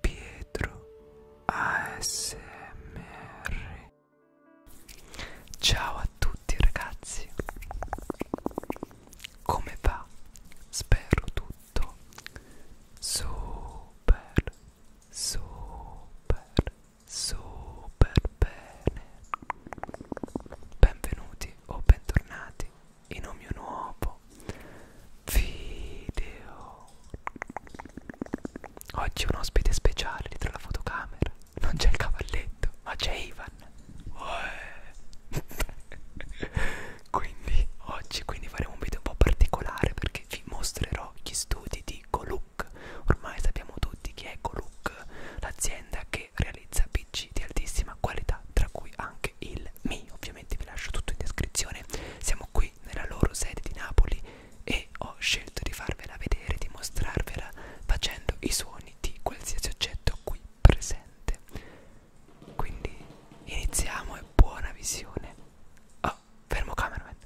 Pietro ASMR Ciao a tutti ragazzi Come va? Spero tutto super super super bene Benvenuti o bentornati in un mio nuovo video oggi un ospite speciale dietro la fotocamera non c'è il cavalletto ma c'è Ivan quindi oggi quindi faremo un video un po' particolare perché vi mostrerò gli studi di Goluk ormai sappiamo tutti chi è Goluk l'azienda che realizza PC di altissima qualità tra cui anche anche il Mi, ovviamente vi lascio tutto in descrizione. Siamo qui nella loro sede di Napoli e ho scelto di farvela vedere, di mostrarvela facendo i suoni di qualsiasi oggetto qui presente. Quindi iniziamo e buona visione. Oh, fermo cameraman.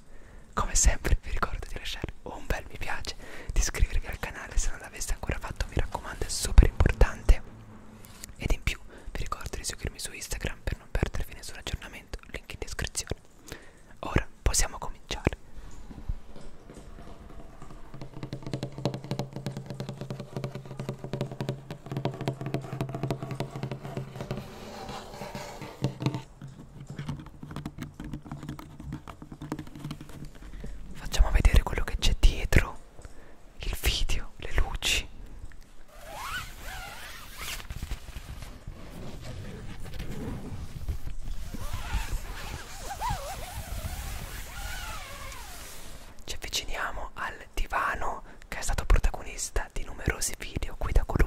Come sempre vi ricordo di lasciare un bel mi piace, di iscrivervi al canale se non l'aveste ancora fatto, mi raccomando, è super importante ed in più vi ricordo di seguirmi su Instagram per non perdervi nessun aggiornamento, link in descrizione. Ora possiamo cominciare. Facciamo vedere quello che c'è dietro il video, le luci. Ci avviciniamo al divano che è stato protagonista di numerosi video qui da Kuluk.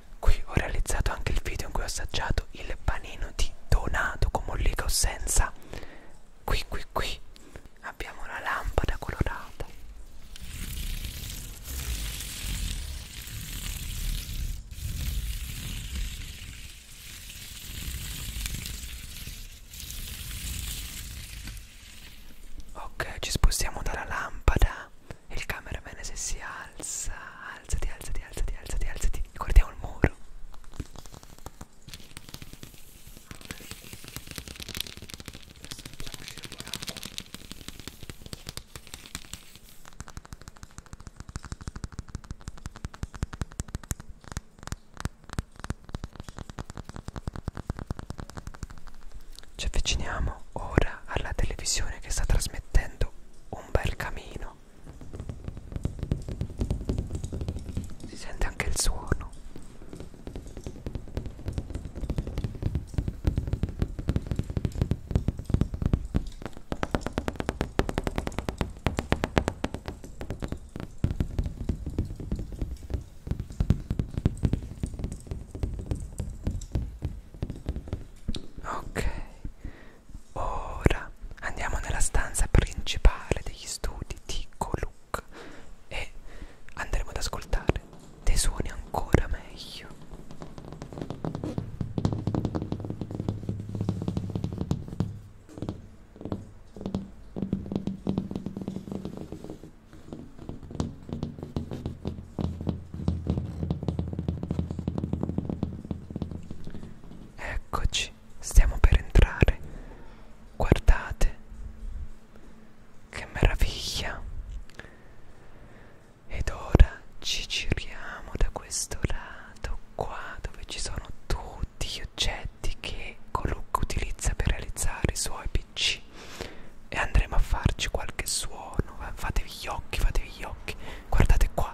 Qui ho realizzato anche il video in cui ho assaggiato il panino di Donato con mollica o senza. Qui, qui, qui abbiamo una lampada colorata. Ok, ci spostiamo dalla lampada e il cameraman se si alza, alzati, alzati, alzati, alzati, alzati. Guardiamo il muro. Ci avviciniamo ora alla televisione che sta trasmettendo un bel camino si sente anche il suono ok Ora andiamo nella stanza principale degli studi di Goluk e andremo ad ascoltare dei suoni ancora meglio. Eccoci, stiamo per entrare. Guardate, che meraviglia! Ed ora ci giriamo da questo lato qua dove ci sono tutti gli oggetti che Coluc utilizza per realizzare i suoi pc e andremo a farci qualche suono. Fatevi gli occhi, fatevi gli occhi guardate qua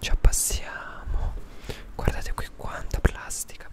ci appassiamo guardate qui quanta plastica bella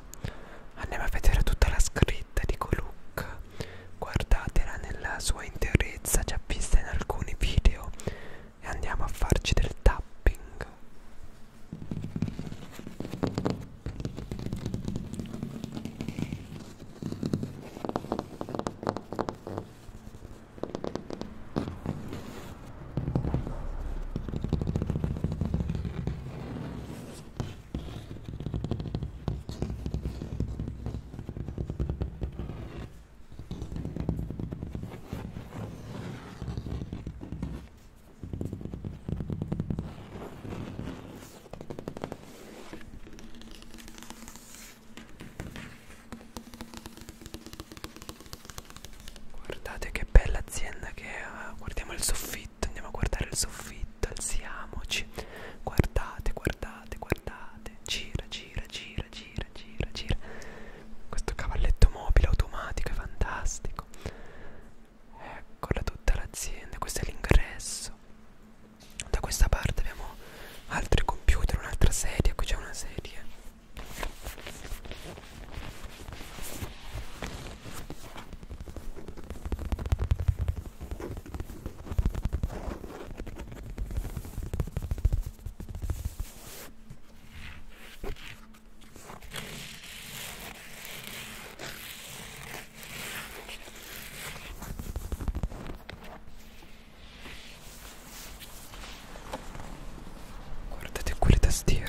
andiamo a vedere tutta la scritta di Goluk guardatela nella sua interezza già vista in alcuni video e andiamo a farci del tapping Guardate che che bella azienda che è. Guardiamo il soffitto, andiamo a guardare il soffitto, alziamoci. Guardate, guardate, guardate. Gira, gira, gira, gira, gira, gira. Questo cavalletto mobile automatico è fantastico. Eccola tutta l'azienda, questo è l'ingresso. Da questa parte abbiamo altri computer, un'altra sedia, qui c'è una sedia. Guardate quelle tastiere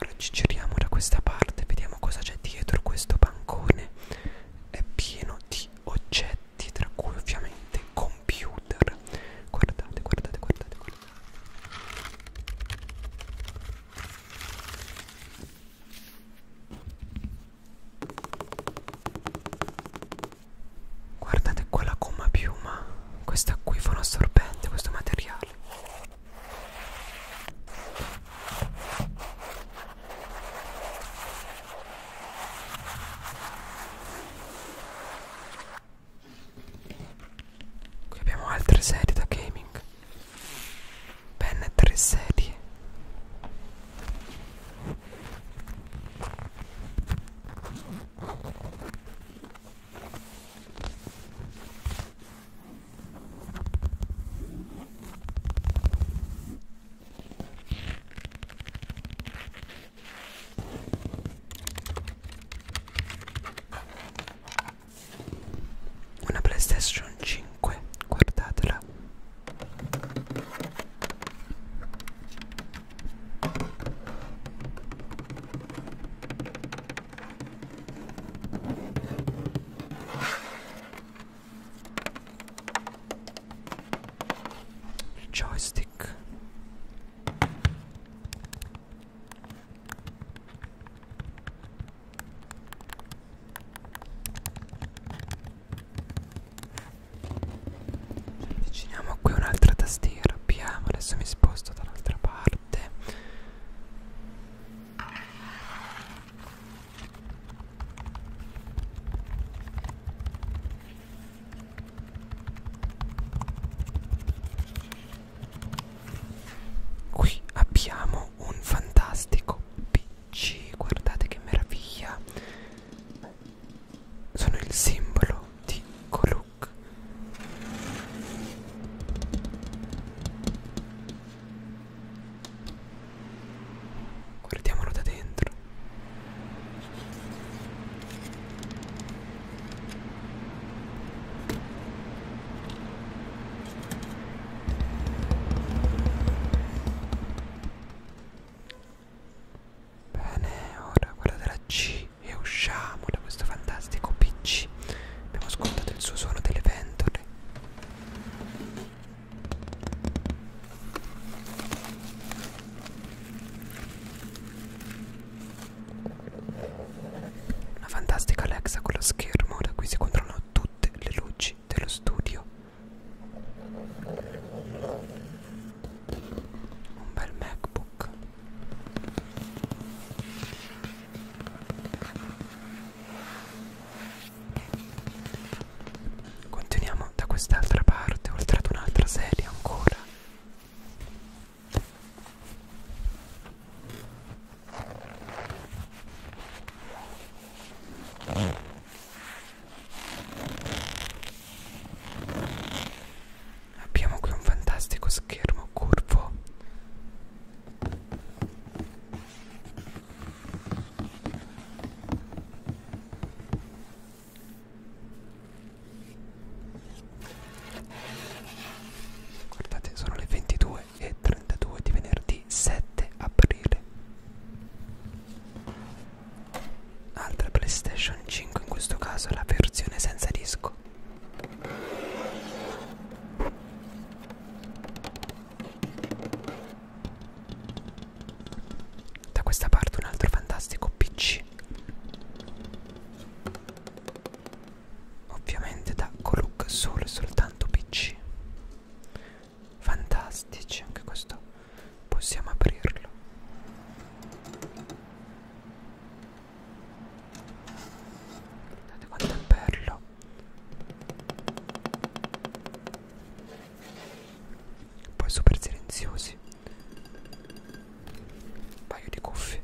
Ora ci giriamo da questa parte, vediamo cosa c'è dietro questo bancone. È pieno di oggetti, tra cui ovviamente computer. Guardate, guardate, guardate, guardate. Guardate qua la gomma piuma, questa qui fa un assorbente questo materiale Qui abbiamo altre serie da gaming. Ben tre serie. Una PlayStation 5, guardatela il joystick avviciniamo qui un'altra tastiera apriamo adesso mi sposto dall'altra parte Qui abbiamo un fantastico PC, guardate che meraviglia! Sono il simbolo di colui rock. Guardiamolo da dentro. Bene, ora quella della C. PC e usciamo da questo fantastico PC. Abbiamo ascoltato il suo suono delle ventole. Una fantastica Alexa con lo schermo da cui si controllano tutte le luci dello studio. Un bel MacBook. Continuiamo da quest'altra parte, oltre ad un'altra serie ancora. Abbiamo qui un fantastico schermo curvo Guardate, sono le 22 e 32 di venerdì 7 aprile. Altra PlayStation 5, in questo caso la versione senza disco. Da questa parte un altro fantastico PC Ovviamente da Coluk solo e soltanto PC Fantastici anche questo Possiamo aprirlo Guardate quanto è bello. Poi super silenziosi. Un paio di cuffie.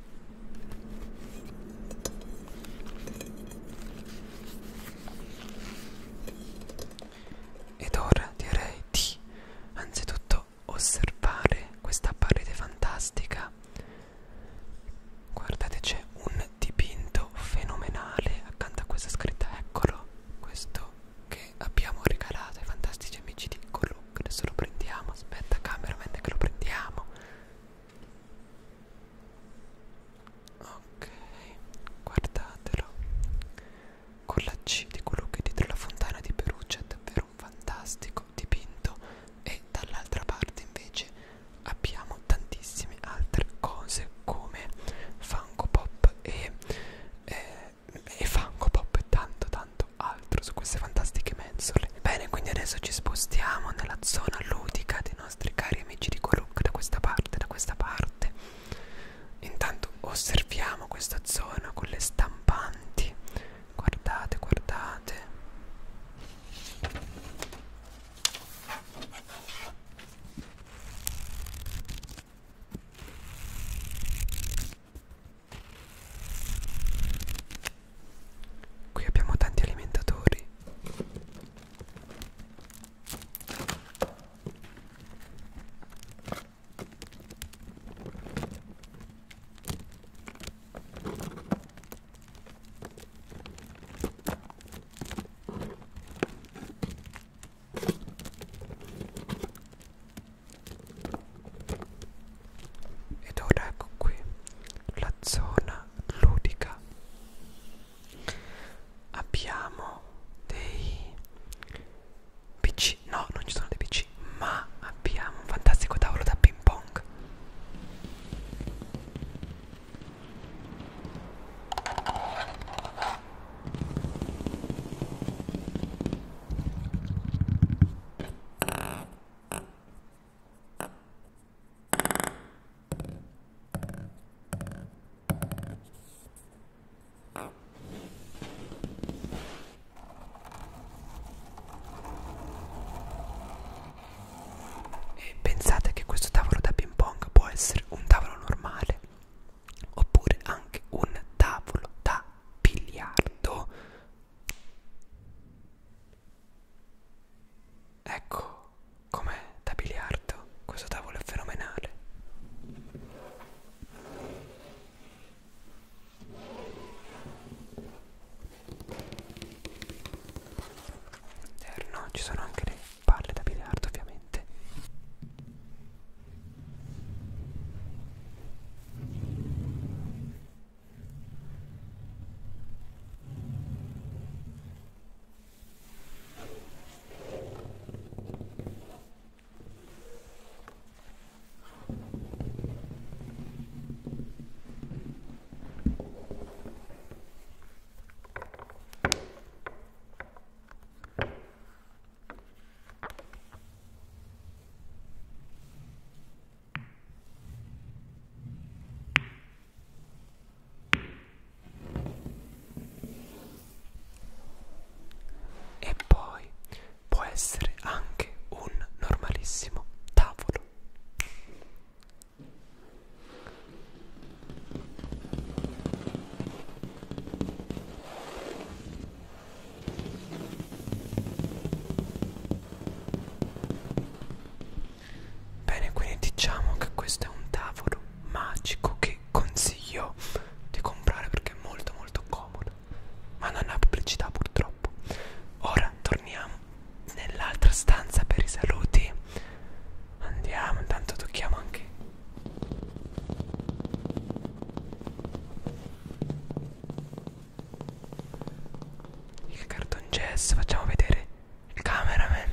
Ed ora direi di anzitutto osservare questa parete fantastica guardate c'è un dipinto fenomenale accanto a questa scritta eccolo questo che abbiamo regalato ai fantastici amici di Coloc adesso lo prendiamo aspetta cameraman che lo prendiamo ok guardatelo con la C di quello che è dietro la fontana di Perugia è davvero un fantastico dipinto e dall'altra parte invece abbiamo tantissime altre cose come Funko Pop e, eh, e Funko Pop e tanto tanto altro su queste fantastiche mensole bene quindi adesso ci spostiamo nella zona ludica dei nostri cari amici di Coruk da questa parte da questa parte intanto osserviamo questa zona con le stampanti guardate guardate qui abbiamo tanti alimentatori ed ora ecco qui la zona ludica. Abbiamo dei PC, no, non ci sono dei PC, ma abbiamo un fantastico tavolo da ping pong. E pensate che questo tavolo da ping pong può essere un tavolo normale oppure anche un tavolo da biliardo. Ecco com'è da biliardo, questo tavolo è fenomenale. Interno ci sono anche le palle da biliardo ovviamente. E poi può essere anche un normalissimo tavolo. Bene, quindi diciamo che questo è un tavolo magico che consiglio di comprare perché è molto molto comodo ma non ha pubblicità purtroppo ora torniamo nell'altra stanza per i saluti andiamo intanto tocchiamo anche il cartongesso facciamo vedere il cameraman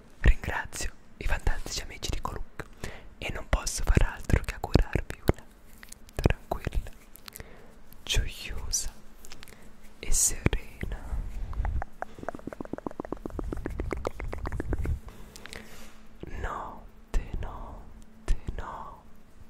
Ringrazio i fantastici amici di Coluc e non posso far altro che augurarvi una tranquilla, gioiosa e serena notte, notte, notte.